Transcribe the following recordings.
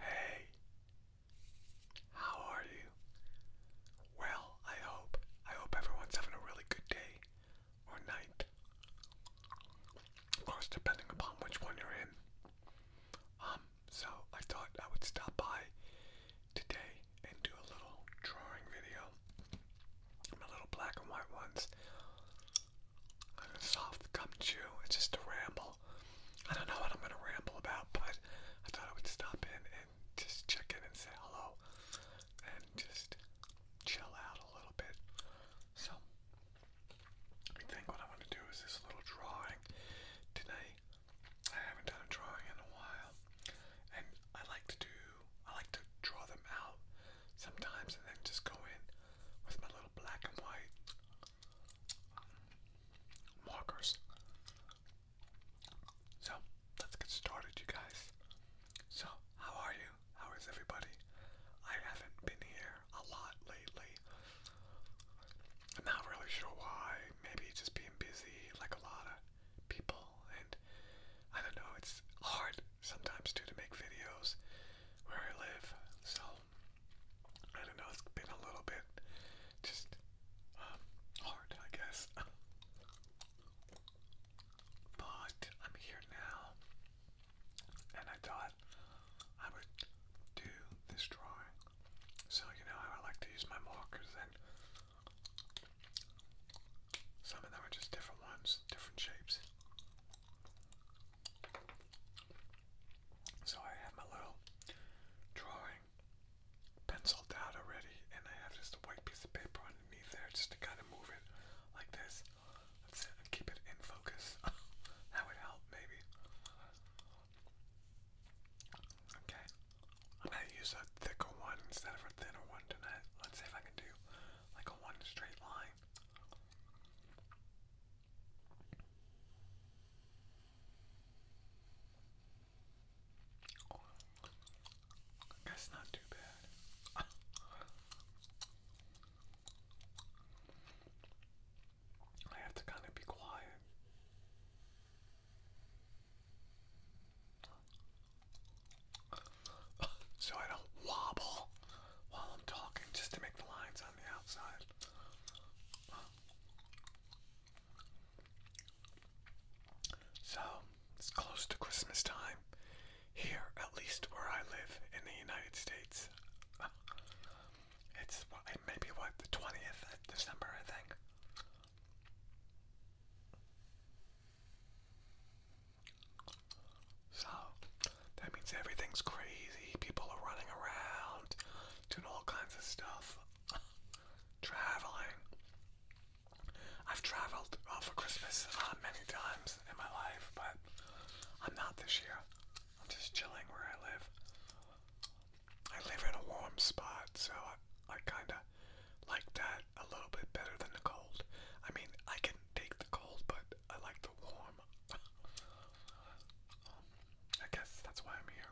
Hey, how are you? Well, I hope. I hope everyone's having a really good day or night. Of course, depending upon which one you're in. Um, so I thought I would stop by today and do a little drawing video. My little black and white ones soft gum chew. It's just a ramble. I don't know what I'm gonna ramble about, but I thought I would stop in and just check in and say hello and just chill out a little bit. So I think what I am going to do is this little drawing today. I haven't done a drawing in a while, and I like to do. I like to draw them out sometimes, and then just go in with my little black and white markers. So, let's get started, you guys. So, how are you? How is everybody? I haven't been here a lot lately. I'm not really sure why. Maybe just being busy, like a lot of people, and I don't know, it's hard sometimes too to make videos where I live. So I don't know, it's been a little bit just um, hard, I guess. But I'm here now, and I thought I would do this drawing. So you know how I like to use my markers, and some of them are just different ones, different shapes. So I have my little drawing penciled out already, and I have just a white piece of paper underneath there just to kind of move it like this. That's it, and keep it in focus. that would help, maybe. Okay, I'm gonna use a thicker one instead of a thinner one tonight. Let's see if I can do like a one straight line. That's not too bad. I have to kind of be quiet. so I don't wobble while I'm talking just to make the lines on the outside. So, it's close to Christmas time here, at least where I live in the United States. It's maybe what, the 20th of December, I think. So that means everything's crazy. People are running around, doing all kinds of stuff, traveling. I've traveled uh, for Christmas uh, many times in my life, but I'm not this year. I'm just chilling where I live. I live in a warm spot, so I kind of like that a little bit better than the cold. I mean, I can take the cold, but I like the warm. Um, I guess that's why I'm here.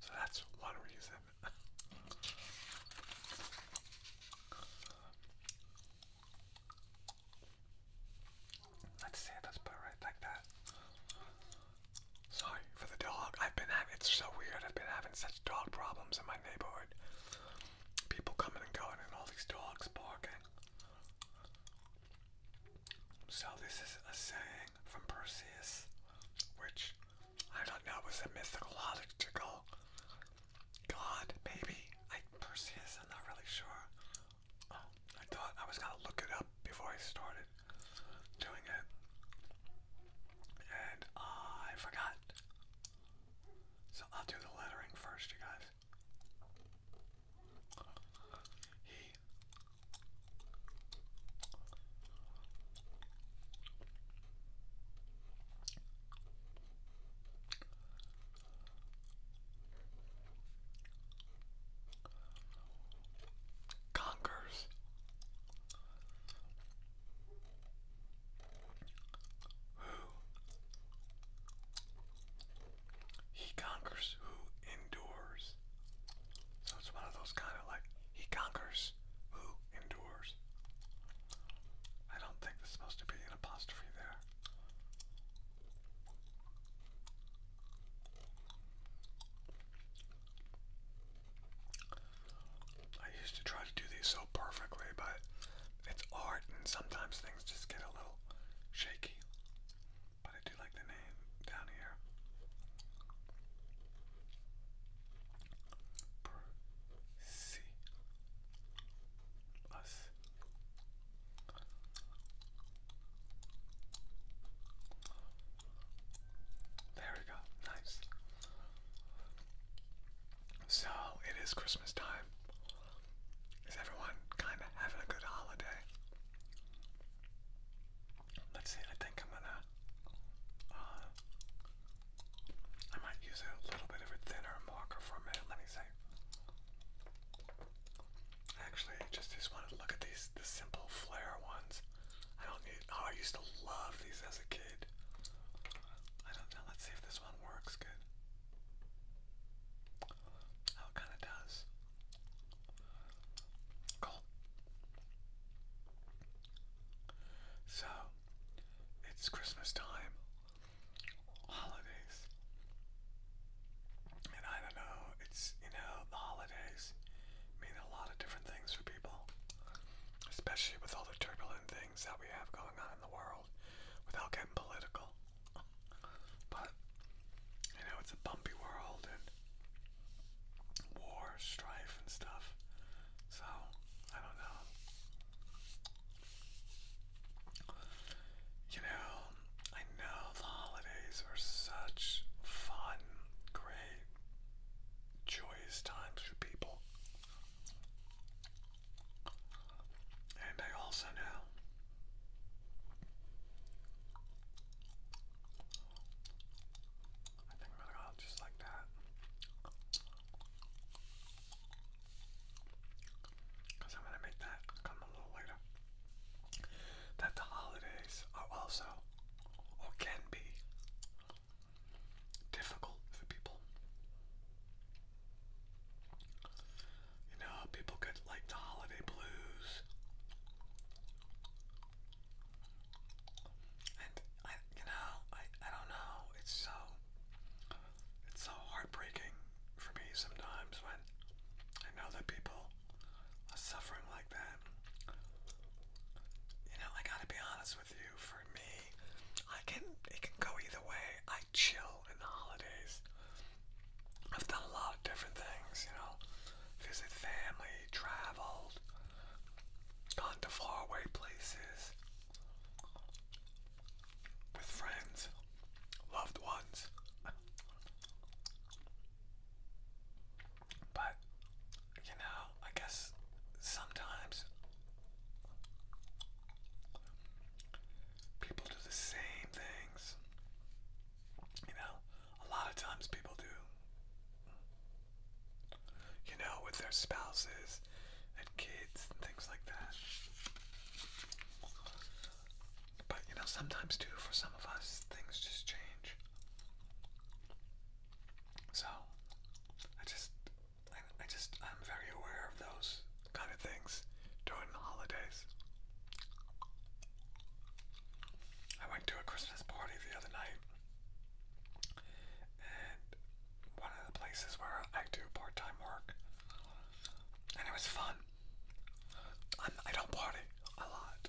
So that's one reason. Let's see, let's put it right like that. Sorry for the dog. I've been having, it's so weird. I've been having such dog problems in my neighborhood. People coming and going and all these dogs barking. So this is a saying from Perseus, which I don't know was a mythological god, maybe. I Perseus, I'm not really sure. Oh, I thought I was gonna look it up before I started doing it. And I forgot. So I'll do the lettering first, you guys. He. Conquers he conquers who endures. So it's one of those kind of like he conquers who endures. I don't think there's supposed to be an apostrophe there. I used to try to do these so perfectly, but it's art and sometimes things just get a little shaky. But I do like the name down here. Percy. There we go. Nice. So it is Christmas time. Is everyone kind of having a good holiday? Let's see. I think I'm gonna. Uh, I might use a little bit of a thinner marker for a minute. Let me see. Actually, just just want to look at these the simple flare ones. I don't need. Oh, I used to love these as a kid. I don't know. Let's see if this one works good. Oh, it kind of does. Cool. So, it's Christmas time, holidays, and I don't know, it's, you know, the holidays mean a lot of different things for people especially with all the turbulent things that we have going on in the world, without getting political. But you know, it's a bumpy world and war, strife, and stuff. So I don't know. You know, I know the holidays are such fun, great, joyous times for people. And I also know I think i just like that. Because I'm gonna make that come a little later. That the holidays are also, or can be, difficult for people. You know, people get like the holiday blues. And I you know, I I don't know. It's so it's so heartbreaking for me sometimes when I know that people are suffering like that. You know, I gotta be honest for me, I can it can go either way. I chill in the holidays. I've done a lot of different things, you know, visit family, traveled, gone to faraway places with friends, loved ones. But you know, I guess sometimes people do the same things. You know, a lot of times people do. You know, with their spouses and kids and things like that. But you know, sometimes too, for some of us, things just change. So, I just I, just, I'm very aware of those kind of things during the holidays. I went to a Christmas party the other night, and one of the places where I do part time work, and it was fun. I'm, I i do not party a lot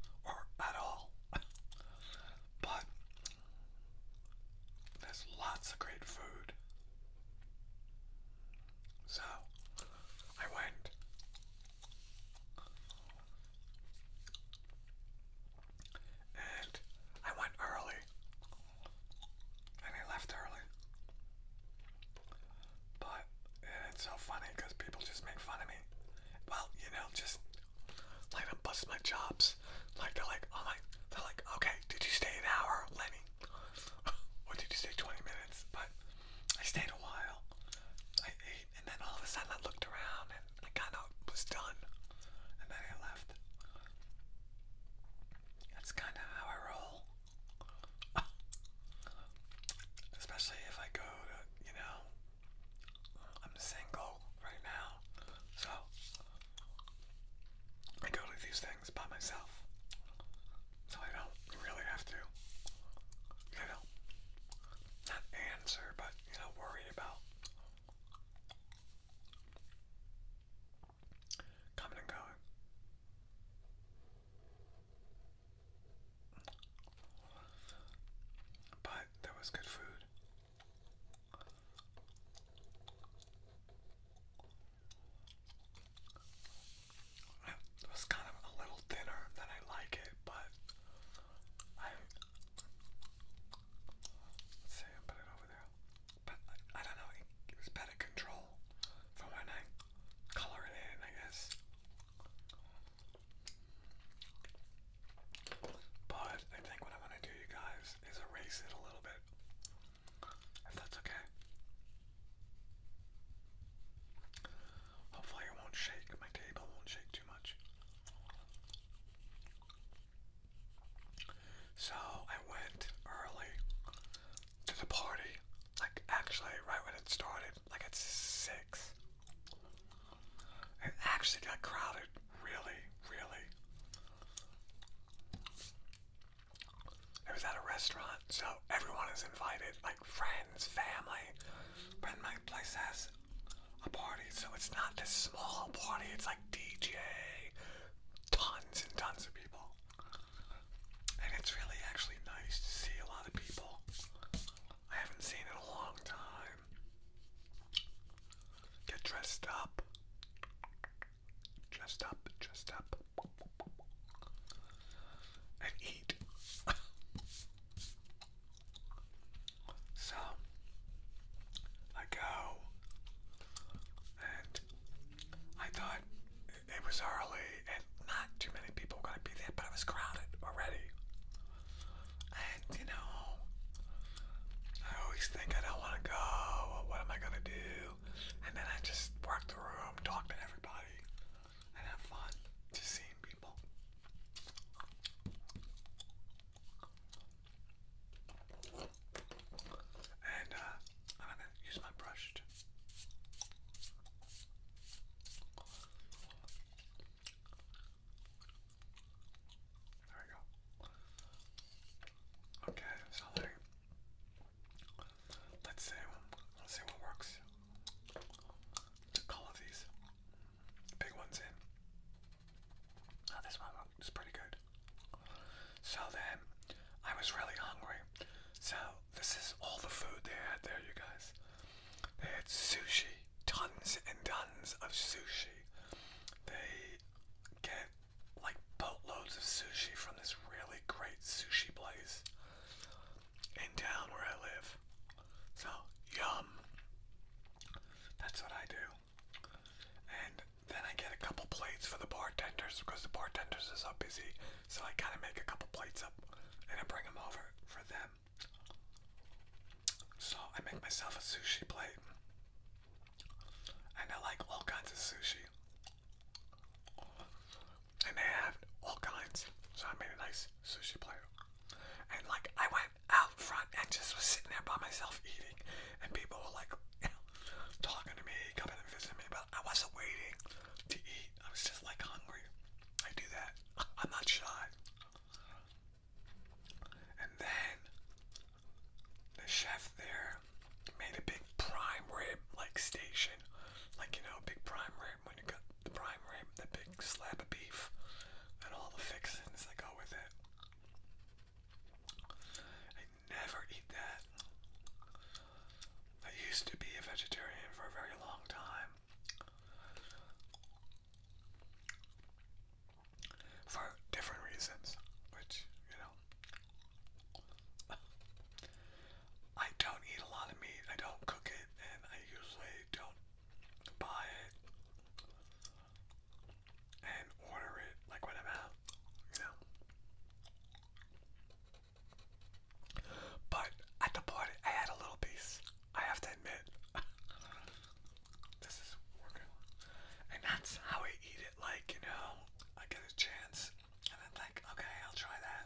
or at all, but there's lots of great food. So I went. And I went early. And I left early. But it's so funny because people just make fun of me. Well, you know, just like I'm my chops. Like they're like, oh my, they're like, okay, did you stay an hour, Lenny? or did you stay 20 minutes? But I stayed a while. I ate, and then all of a sudden I looked around and I kind of was done, and then I left. That's kind of how I roll. Especially if I go to, you know, I'm single right now, so I go to these things by myself. So I don't really have to, you know, not answer, but, you know, worry about coming and going. But there was good food. It was kind of a little thinner than I like it, but I let's put it over there. But I, don't know, it better control for when I color it in, I guess. But I think what I'm gonna do, you guys, is erase it a little bit. If that's okay. Hopefully, it won't shake. My table won't shake too much. So, I went early to the party. Like, actually, right when it started, like at 6. It actually got crowded really, really. It was at a restaurant, so everyone is invited, like friends, family. But my place has a party, so it's not this small party, it's like DJ, tons and tons of people. And it's really actually nice to see a lot of people. I haven't seen it a long time. Get dressed up. Dressed up, dressed up. And eat. so, I go. And I thought it was early and not too many people going to be there, but it was crowded already. And you know, I always think I don't want to go. What am I gonna do? And then I just work the room, talk to everybody, and have fun, just seeing people. And uh, I'm gonna use my brush. there we go. Okay, so let's see, let's see what works. To color these big ones in. Oh, this one looks pretty good. So then, I was really hungry. So this is all the food they had there, you guys. They had sushi, tons and tons of sushi. They get like boatloads of sushi from this really great sushi place in town where I live. So, yum. That's what I do. And then I get a couple plates for the bartenders because the bartenders are so busy. So I kind of make a couple plates up and I bring them over for them. So I make myself a sushi plate. And I like all kinds of sushi. And they have all kinds. So I made a nice sushi plate. And like I went out front and just was sitting there by myself eating. And people were like talking to me, coming and visiting me. But I wasn't waiting to eat. I was just like hungry. I do that. I'm not shy. And then the chef there made a big prime rib like station. Like, you know, a big prime rib when you got the prime rib, the big slab of beef, and all the fixings that go with it. I never eat that. I used to be a vegetarian for a very long time for different reasons, which, you know, I don't eat a lot of meat, I don't cook it, and I usually don't buy it and order it like when I'm out, you know. But at the party, I had a little piece, I have to admit. This is working. And that's how I eat it. Like, you know, I get a chance and then like, okay, I'll try that.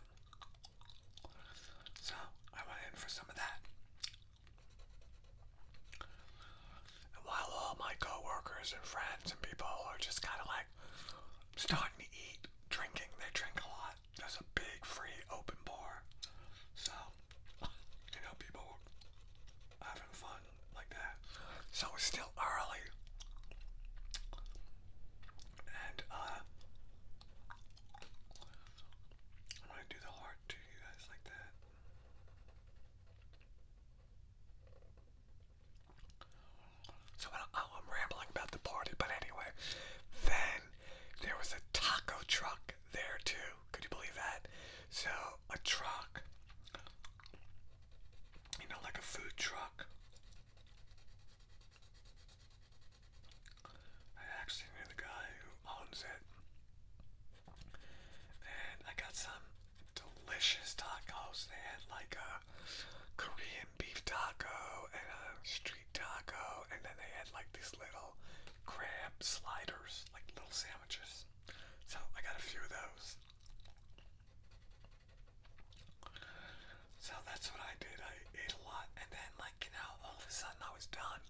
So I went in for some of that. And while all my coworkers and friends and people are just kind of like starting to eat, drinking, they drink a lot. There's a big free open bar. So you know, people having fun like that. So it's still early. And uh, I'm gonna do the heart to you guys like that. So I'm rambling about the party, but anyway, then there was a taco truck there too. Could you believe that? So a truck, you know, like a food truck. I actually knew the guy who owns it. And I got some delicious tacos. They had like a Korean beef taco and a street taco, and then they had like these little crab sliders, like little sandwiches. So I got a few of those. So that's what I did. I ate a lot, and then, like, you know, all of a sudden I was done.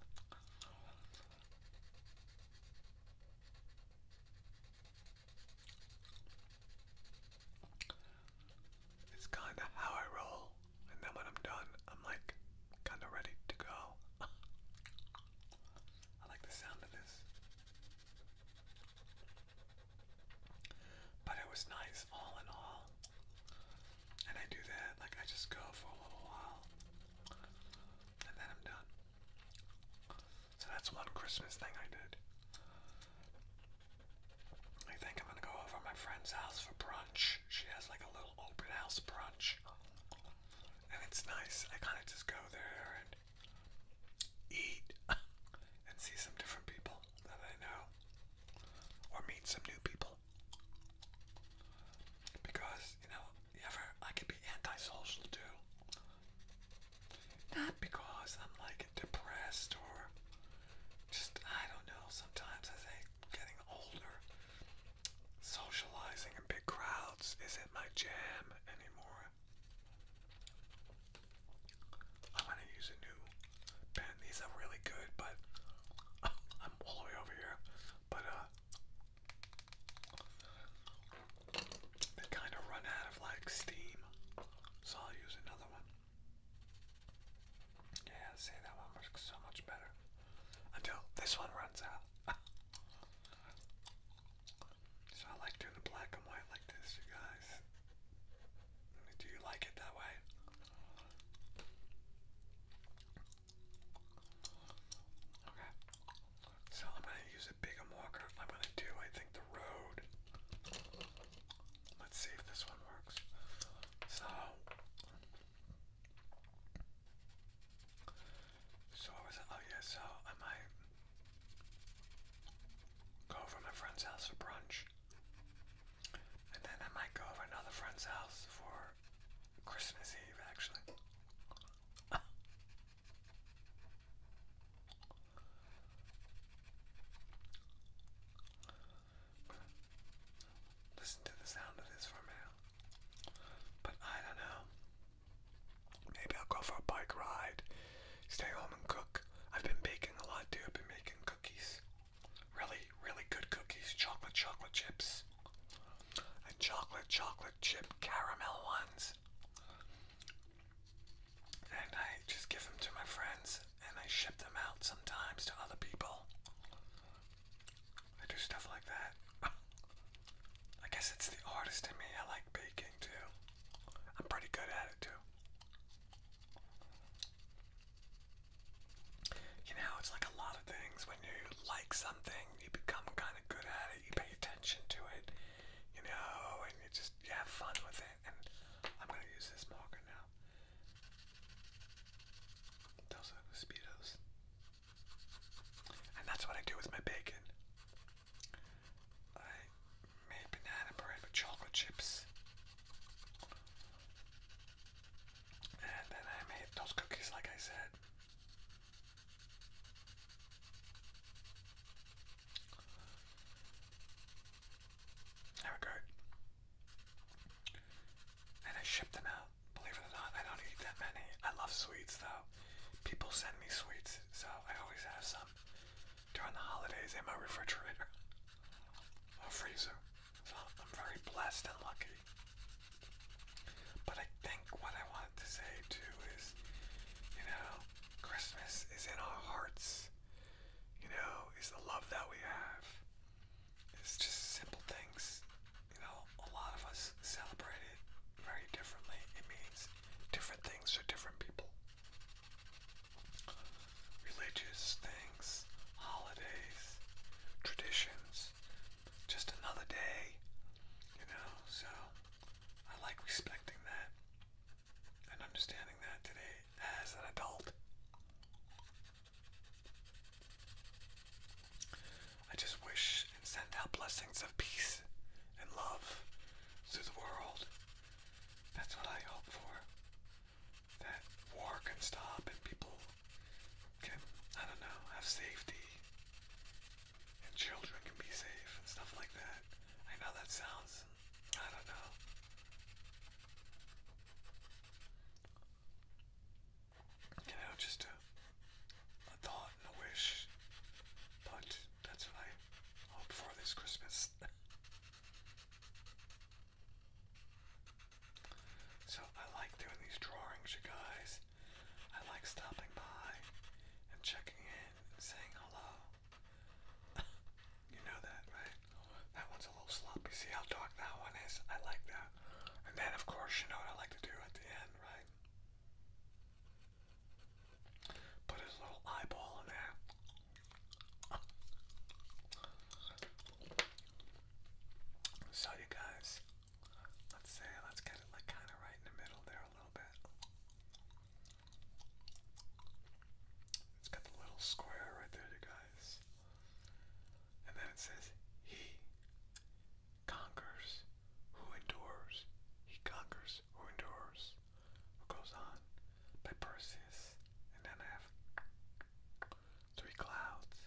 It's kind of how I roll, and then when I'm done, I'm like kind of ready to go. I like the sound of this. But it was nice all in all. And I do that, like I just go for a little while. And then I'm done. So that's one Christmas thing I did. I think I'm gonna go over my friend's house for brunch. She has like a little open house brunch and it's nice. I kind of just go there and eat and see some different people that I know or meet some new people. Because, you know, ever I can be antisocial too. Not because I'm like depressed or just I don't know, sometimes I think getting older socializing big crowds isn't my jam anymore. I'm gonna use a new pen. These are really good, but I'm all the way over here. But uh, they kind of run out of like steam, so I'll use another one. Yeah, see that one works so much better until this one runs out. So I like doing the black and white like this, you guys. Do you like it that way? Okay. So I'm going to use a bigger marker. I'm going to do, I think, the road. Let's see if this one works. So so I was oh yeah, so I might go over my friend's house for brunch. And then I might go over another friend's house for Christmas Eve actually. Listen to the sound of this for a minute. But I don't know. Maybe I'll go for a bike ride, stay home and cook. I've been baking a lot too. I've been making cookies. Really, really good cookies. Chocolate chocolate chips. And chocolate chocolate chip caramel ones. And I just give them to my friends and I ship them out sometimes to other people. I do stuff like that. I guess it's the artist in me. I like baking too. I'm pretty good at it too. You know, it's like a lot of things. When you like something, you become kind of good at it. You pay attention to it, you know, and you just you have fun with it. And I'm gonna use this marker now. Those are mosquitoes, and that's what I do with my bacon. I made banana bread with chocolate chips. And then I made those cookies, like I said. They were good. And I shipped them out. Believe it or not, I don't eat that many. I love sweets, though people send me sweets, so I always have some during the holidays in my refrigerator or freezer. So I'm very blessed and lucky. But I think what I wanted to say too is, you know, Christmas is in our hearts. You know, is the love that we have. It's just simple things. You know, a lot of us celebrate it very differently. It means different things to different people. Religious things, holidays, traditions, just another day, you know. So I like respecting that and understanding that today as an adult. I just wish and send out blessings of peace and love through the world. That's what I hope for. That war can stop and people can, I don't know, have safety and children can be safe and stuff like that. I know that sounds, I don't know. You know, just a thought and a wish, but that's what I hope for this Christmas. so I like doing these drawings, you guys. I like stopping by and checking in and saying hello. you know that, right? That one's a little sloppy. See how dark that one is? I like that. And then, of course, you know what I like to do at the end, right? Put his little eyeball in there. So you guys, let's say, let's get it like kind of right in the middle there a little bit. It's got the little square right there, you guys. And then it says he, conquers. Who endures? He conquers. Who endures? Who goes on? By Perseus. And then have three clouds.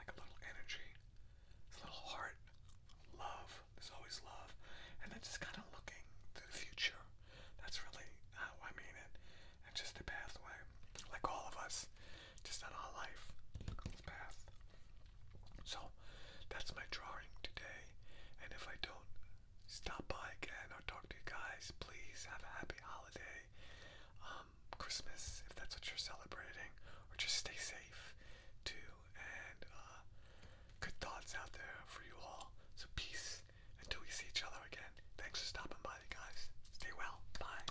Like a little energy. a little heart. Love. There's always love. And then just kind of looking to the future. That's really how I mean it. And just the pathway. Like all of us. Just not all life. path. So that's my drawing today. And if I don't stop by again or talk to you guys, please have a happy holiday. Um, Christmas, if that's what you're celebrating, or just stay safe too. And uh, good thoughts out there for you all. So peace until we see each other again. Thanks for stopping by, you guys. Stay well. Bye.